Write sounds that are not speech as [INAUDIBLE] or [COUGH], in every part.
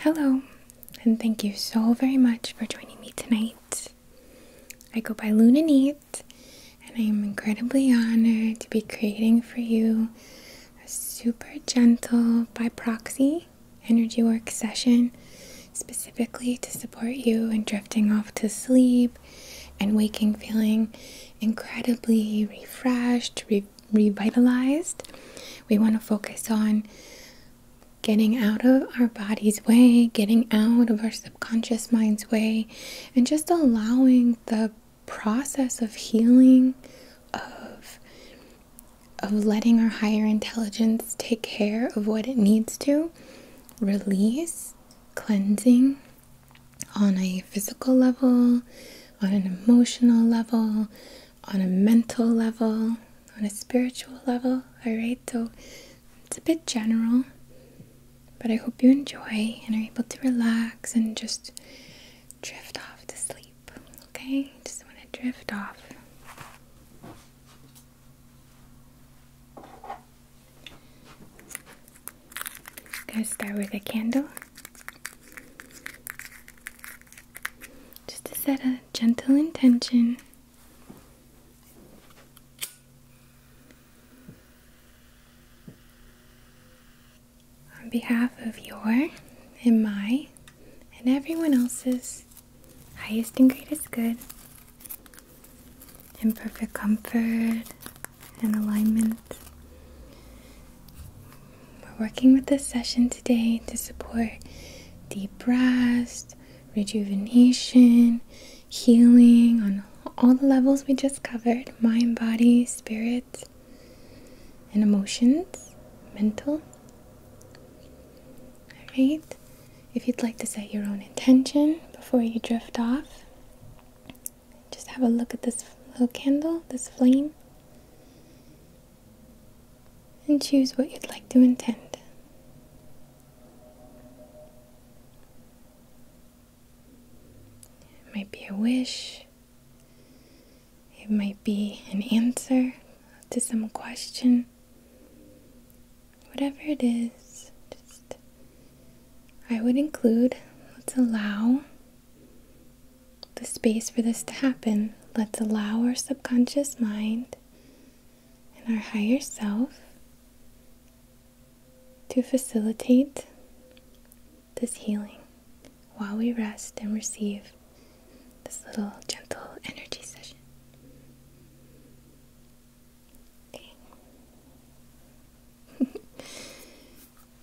Hello, and thank you so very much for joining me tonight. I go by Luna Nite, and I am incredibly honored to be creating for you a super gentle by proxy energy work session specifically to support you in drifting off to sleep and waking feeling incredibly refreshed, revitalized. We want to focus on getting out of our body's way, getting out of our subconscious mind's way, and just allowing the process of healing of of letting our higher intelligence take care of what it needs to release cleansing on a physical level on an emotional level on a mental level, on a spiritual level. All right, so it's a bit general, but I hope you enjoy and are able to relax and just drift off to sleep. Okay, just want to drift off. gonna start with a candle just to set a gentle intention. On behalf of your and my and everyone else's highest and greatest good and perfect comfort and alignment, we're working with this session today to support deep rest, rejuvenation, healing on all the levels we just covered mind, body, spirit, and emotions, mental. Alright, if you'd like to set your own intention before you drift off, just have a look at this little candle, this flame and choose what you'd like to intend. It might be a wish, it might be an answer to some question. Whatever it is, just I would include, let's allow the space for this to happen, let's allow our subconscious mind and our higher self to facilitate this healing while we rest and receive this little gentle energy session. Okay. [LAUGHS]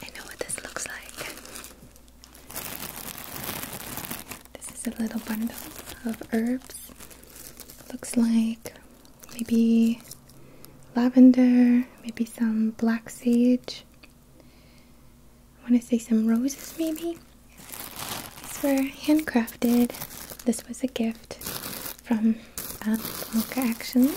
I know what this looks like. This is a little bundle of herbs. Looks like maybe lavender, maybe some black sage, I want to say some roses maybe. These were handcrafted. This was a gift from uh, Action.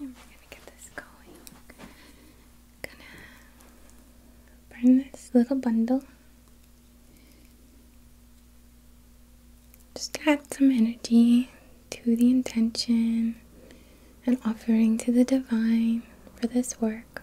And we're gonna get this going. Gonna burn this little bundle. Just add some energy to the intention and offering to the divine for this work.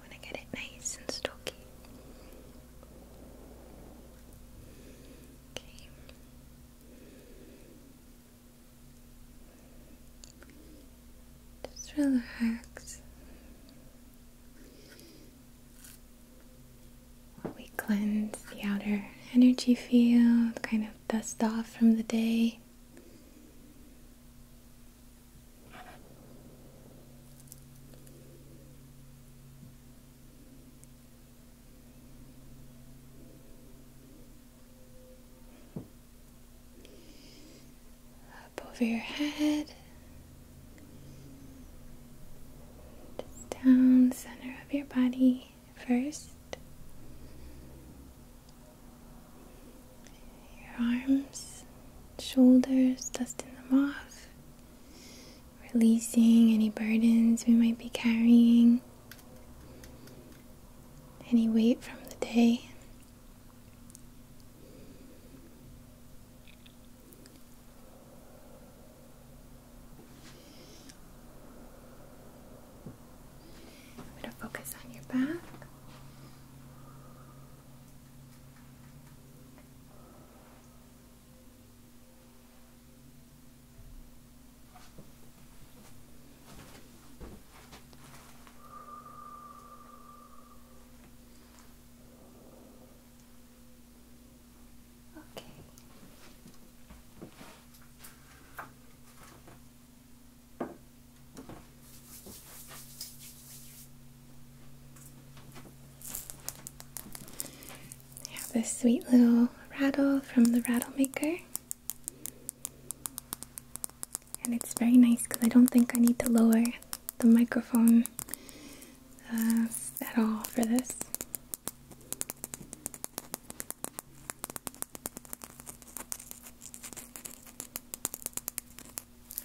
When I get it nice and stocky. Okay. Just relax. we cleanse the outer energy field, kind of dust off from the day up over your head, down center of your body first. Your arms, shoulders, dusting them off, releasing any burdens we might be carrying, any weight from the day. I'm going to focus on your back. Okay. I have this sweet little rattle from the rattle maker and it's very nice because I don't think I need to lower the microphone uh, at all for this.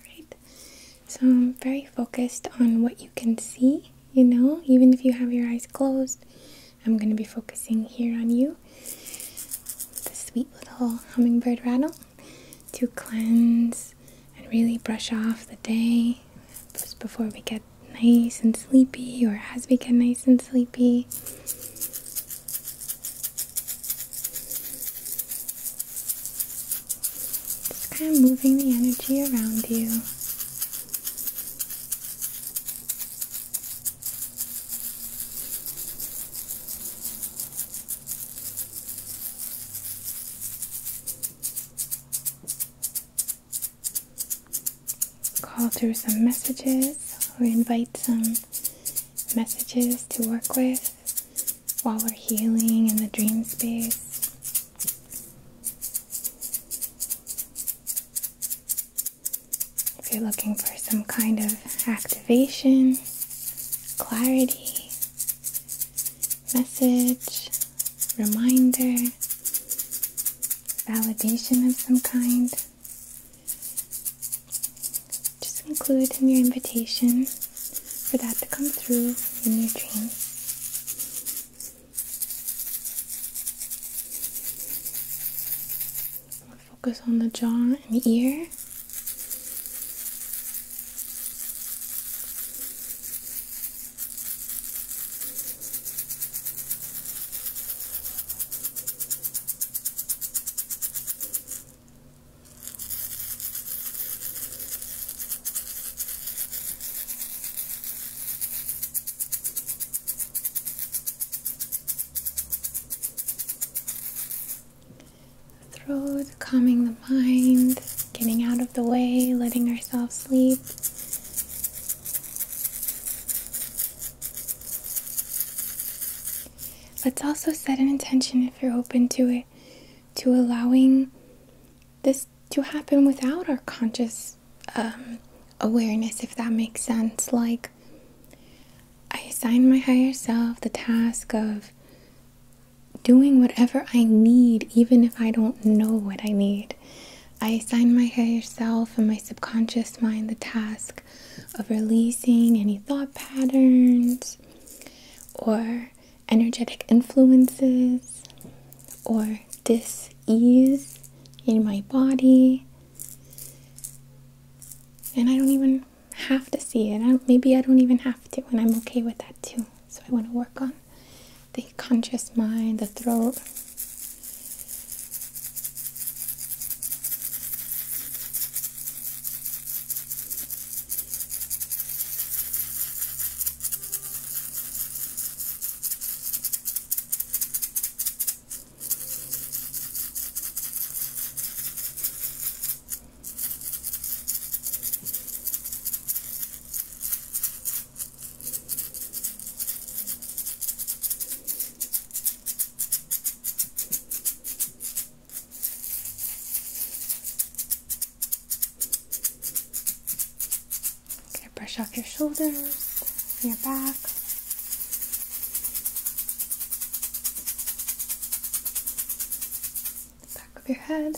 Right, so I'm very focused on what you can see, you know, even if you have your eyes closed, I'm going to be focusing here on you. The sweet little hummingbird rattle to cleanse and really brush off the day just before we get nice and sleepy or as we get nice and sleepy. Just kind of moving the energy around you. Call through some messages or invite some messages to work with while we're healing in the dream space. If you're looking for some kind of activation, clarity, message, reminder, validation of some kind. Just include in your invitation for that to come through in your dream focus on the jaw and the ear throat, calming the mind, getting out of the way, letting ourselves sleep. Let's also set an intention if you're open to it, to allowing this to happen without our conscious um, awareness, if that makes sense. Like, I assign my higher self the task of doing whatever I need, even if I don't know what I need. I assign my higher self and my subconscious mind the task of releasing any thought patterns or energetic influences or dis ease in my body. And I don't even have to see it. maybe I don't even have to, and I'm okay with that too. So I want to work on the conscious mind, the throat. Okay, brush off your shoulders, your back. The back of your head.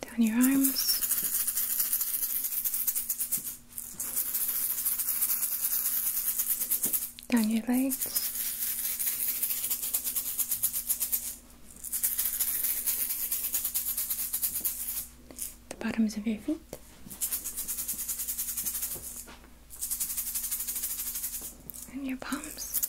Down your arms. Down your legs. The bottoms of your feet and your palms. Okay.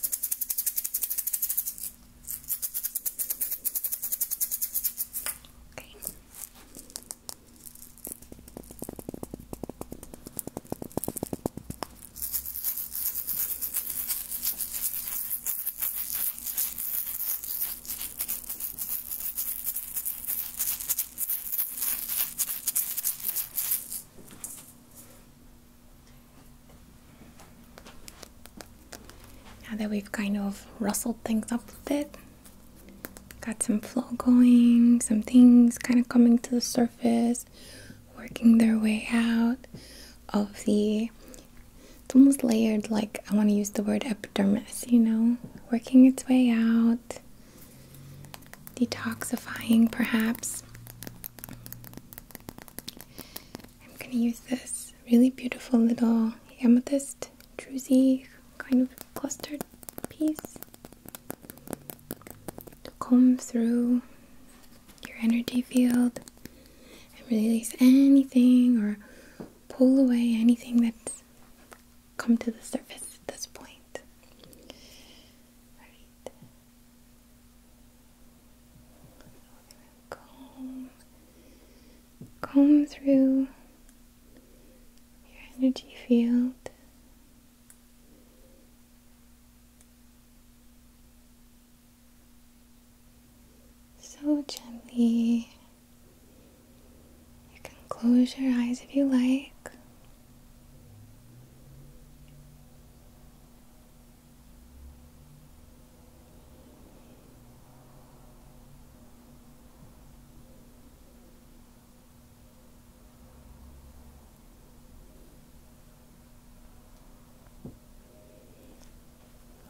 Now that we've kind of rustled things up a bit, got some flow going, some things kind of coming to the surface, working their way out of the it's almost layered like I want to use the word epidermis, you know, working its way out, detoxifying, perhaps. I'm going to use this really beautiful little amethyst druzy kind of clustered piece to comb through your energy field and release anything or pull away anything that's come to the surface at this point. Alright. comb, comb through your energy field. So gently. You can close your eyes if you like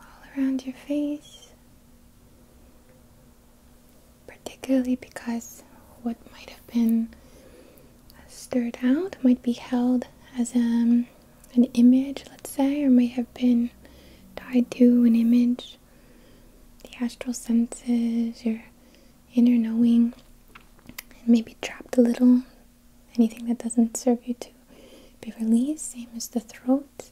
all around your face particularly because what might have been stirred out might be held as um, an image, let's say, or may have been tied to an image. The astral senses, your inner knowing, and maybe trapped a little. Anything that doesn't serve you to be released, same as the throat.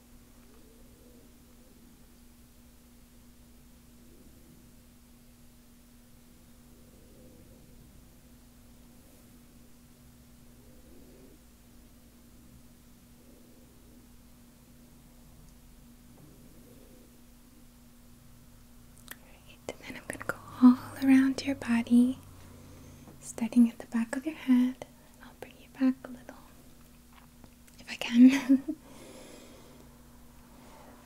Right, and then I'm going to go all around your body, starting at the back of your head. I'll bring you back a little if I can. [LAUGHS]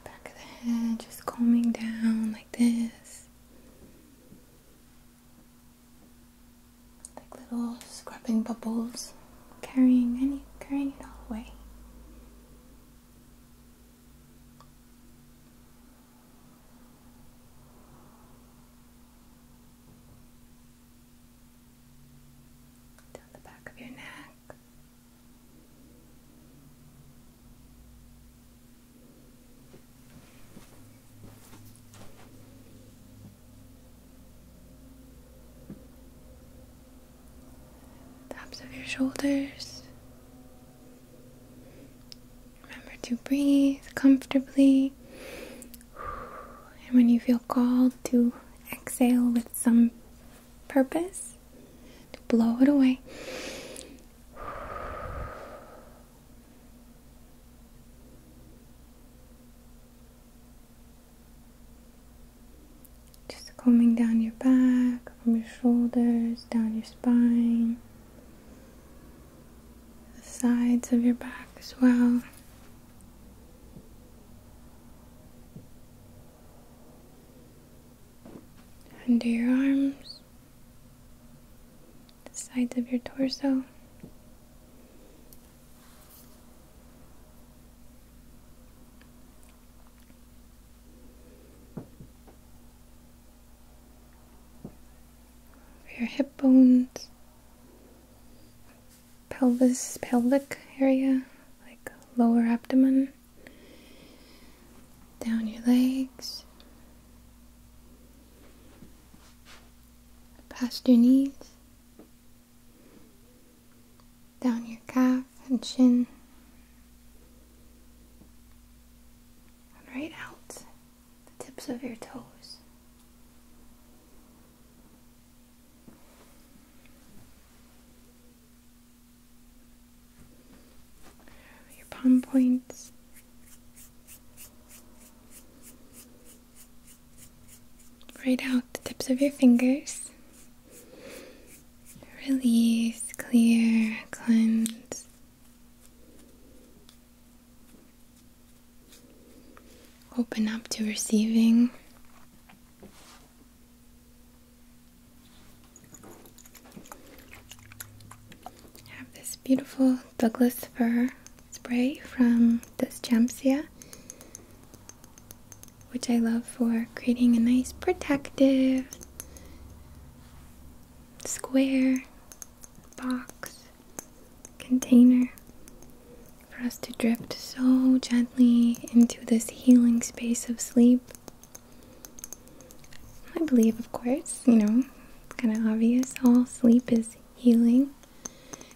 Back of the head, just combing down like this. Like little scrubbing bubbles, carrying any carrying it all away down the back of your neck. Tops of your shoulders. Remember to breathe comfortably and when you feel called to exhale with some purpose, to blow it away. Just combing down your back, from your shoulders, down your spine, the sides of your back as well under your arms, the sides of your torso. Your hip bones, pelvis, pelvic area, like lower abdomen, down your legs, past your knees, down your calf and shin, right out the tips of your toes your palm points. Right out the tips of your fingers. Release, clear, cleanse. Open up to receiving. have this beautiful Douglas fir spray from this Champsia, which I love for creating a nice protective square box container for us to drift so gently into this healing space of sleep. I believe, of course, you know, it's kind of obvious, all sleep is healing,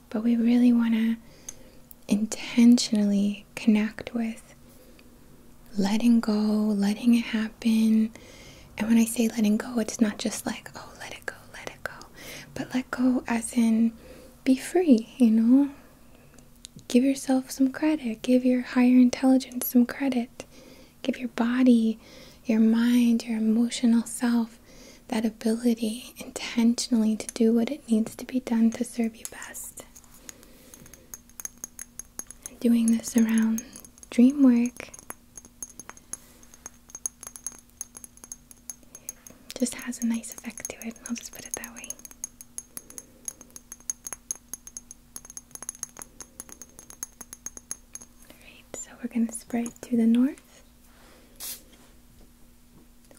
but we really want to intentionally connect with letting go, letting it happen. And when I say letting go, it's not just like, oh, let it go, let it go. But let go as in be free, you know? Give yourself some credit. Give your higher intelligence some credit. Give your body, your mind, your emotional self that ability intentionally to do what it needs to be done to serve you best. Doing this around dream work just has a nice effect to it. I'll just put it that way. Alright, so we're going to spray to the north.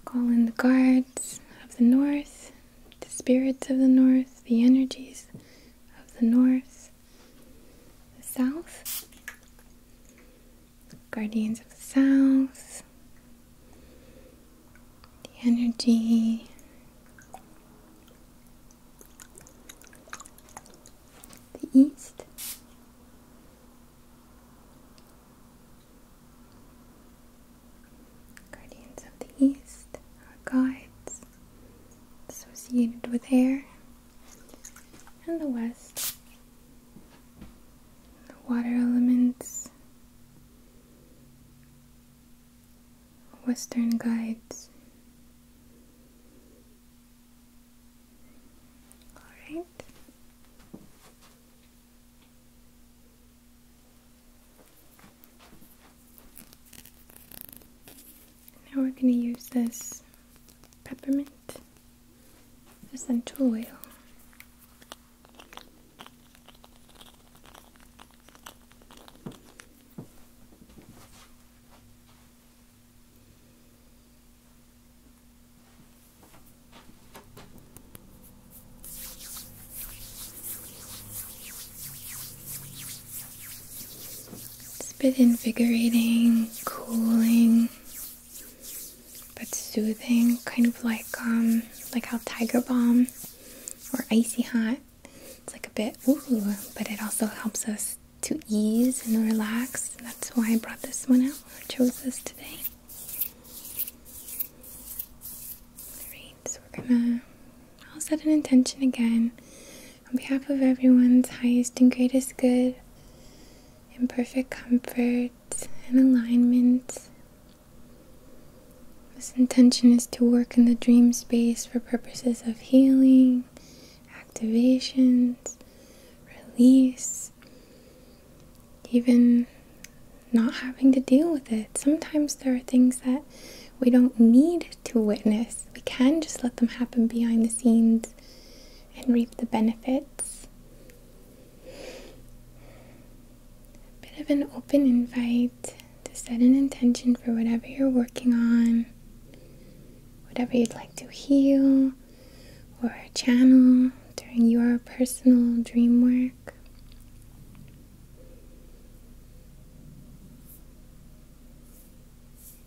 Call in the guards of the north, the spirits of the north, the energies of the north, the south, guardians of the south, the energy. The east, guardians of the east, our guides associated with air, and the west, the water elements, western guides. All right. Now we're going to use this peppermint essential oil. It's a bit invigorating, cooling but soothing, kind of like um like how Tiger Balm or Icy Hot. It's like a bit ooh, but it also helps us to ease and relax. That's why I brought this one out or chose this today. Alright, so we're gonna all set an intention again. On behalf of everyone's highest and greatest good, in perfect comfort and alignment. This intention is to work in the dream space for purposes of healing, activations, release, even not having to deal with it. Sometimes there are things that we don't need to witness, we can just let them happen behind the scenes and reap the benefits. bit of an open invite to set an intention for whatever you're working on, whatever you'd like to heal or channel during your personal dream work.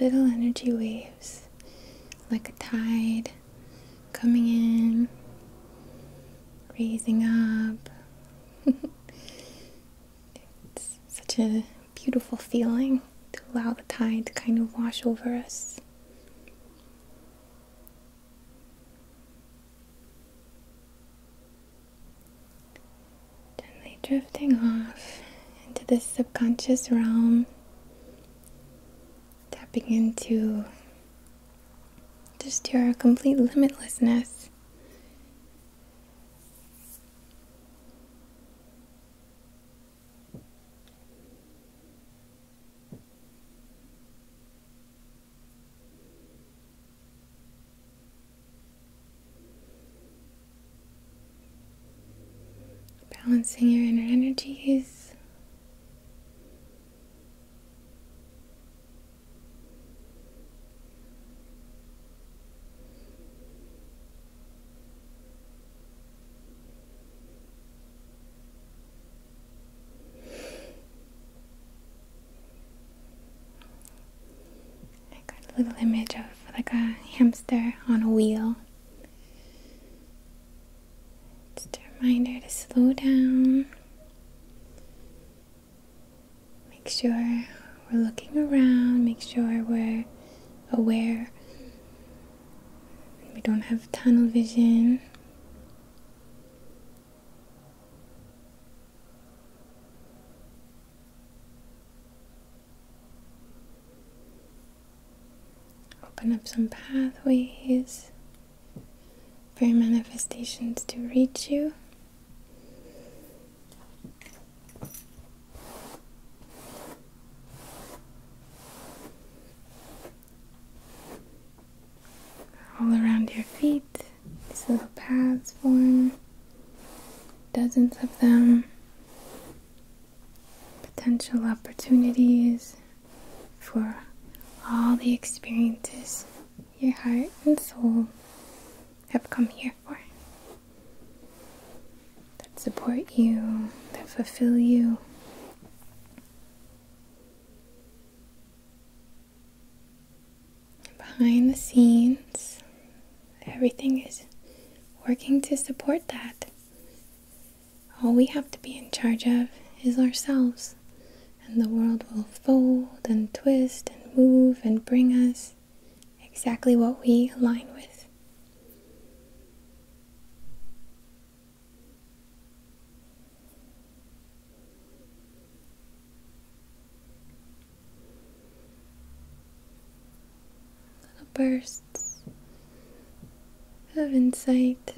little energy waves like a tide coming in, raising up. [LAUGHS] it's such a beautiful feeling to allow the tide to kind of wash over us gently drifting off into this subconscious realm, tapping into just your complete limitlessness. Balancing your inner energies. I got a little image of like a hamster on a wheel. Just a reminder to slow down. Make sure we're looking around, make sure we're aware. We don't have tunnel vision. Open up some pathways for your manifestations to reach you. All around your feet, these little paths form, dozens of them potential opportunities for all the experiences your heart and soul have come here for that support you, that fulfill you. behind the scenes, everything is working to support that. All we have to be in charge of is ourselves, and the world will fold and twist and move and bring us exactly what we align with little bursts of insight,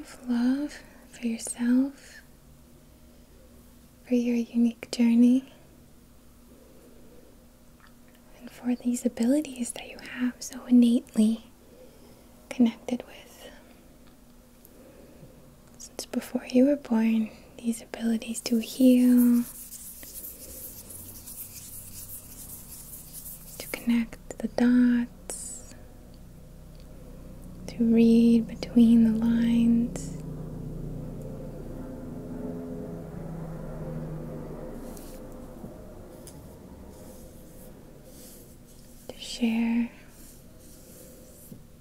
of love for yourself, for your unique journey, and for these abilities that you have so innately connected with. Since before you were born, these abilities to heal, to connect the dots, to read between the lines. To share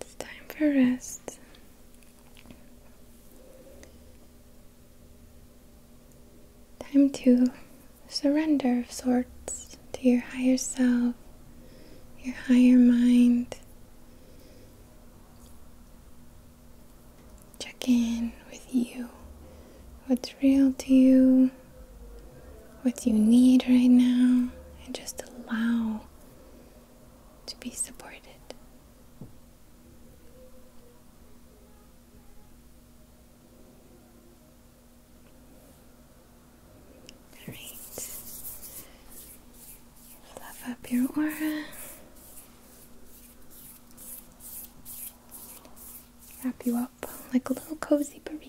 It's time for rest. Time to surrender of sorts to your higher self, your higher mind. Check in with you. What's real to you? what you need right now and just allow to be supported. All right. Fluff up your aura. Wrap you up like a little cozy burrito.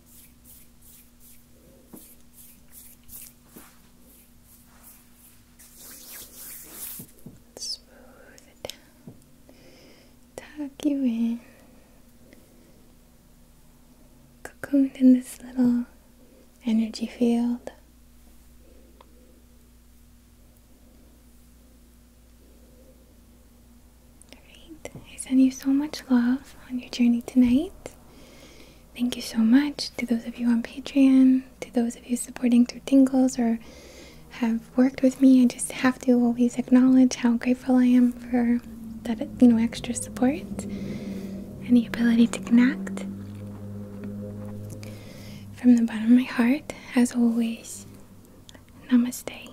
Smooth it down. Tuck you in. Cocooned in this little energy field. Alright, I send you so much love on your journey tonight. Thank you so much to those of you on Patreon, to those of you supporting through Tingles or have worked with me. I just have to always acknowledge how grateful I am for that you know extra support and the ability to connect. From the bottom of my heart, as always, namaste.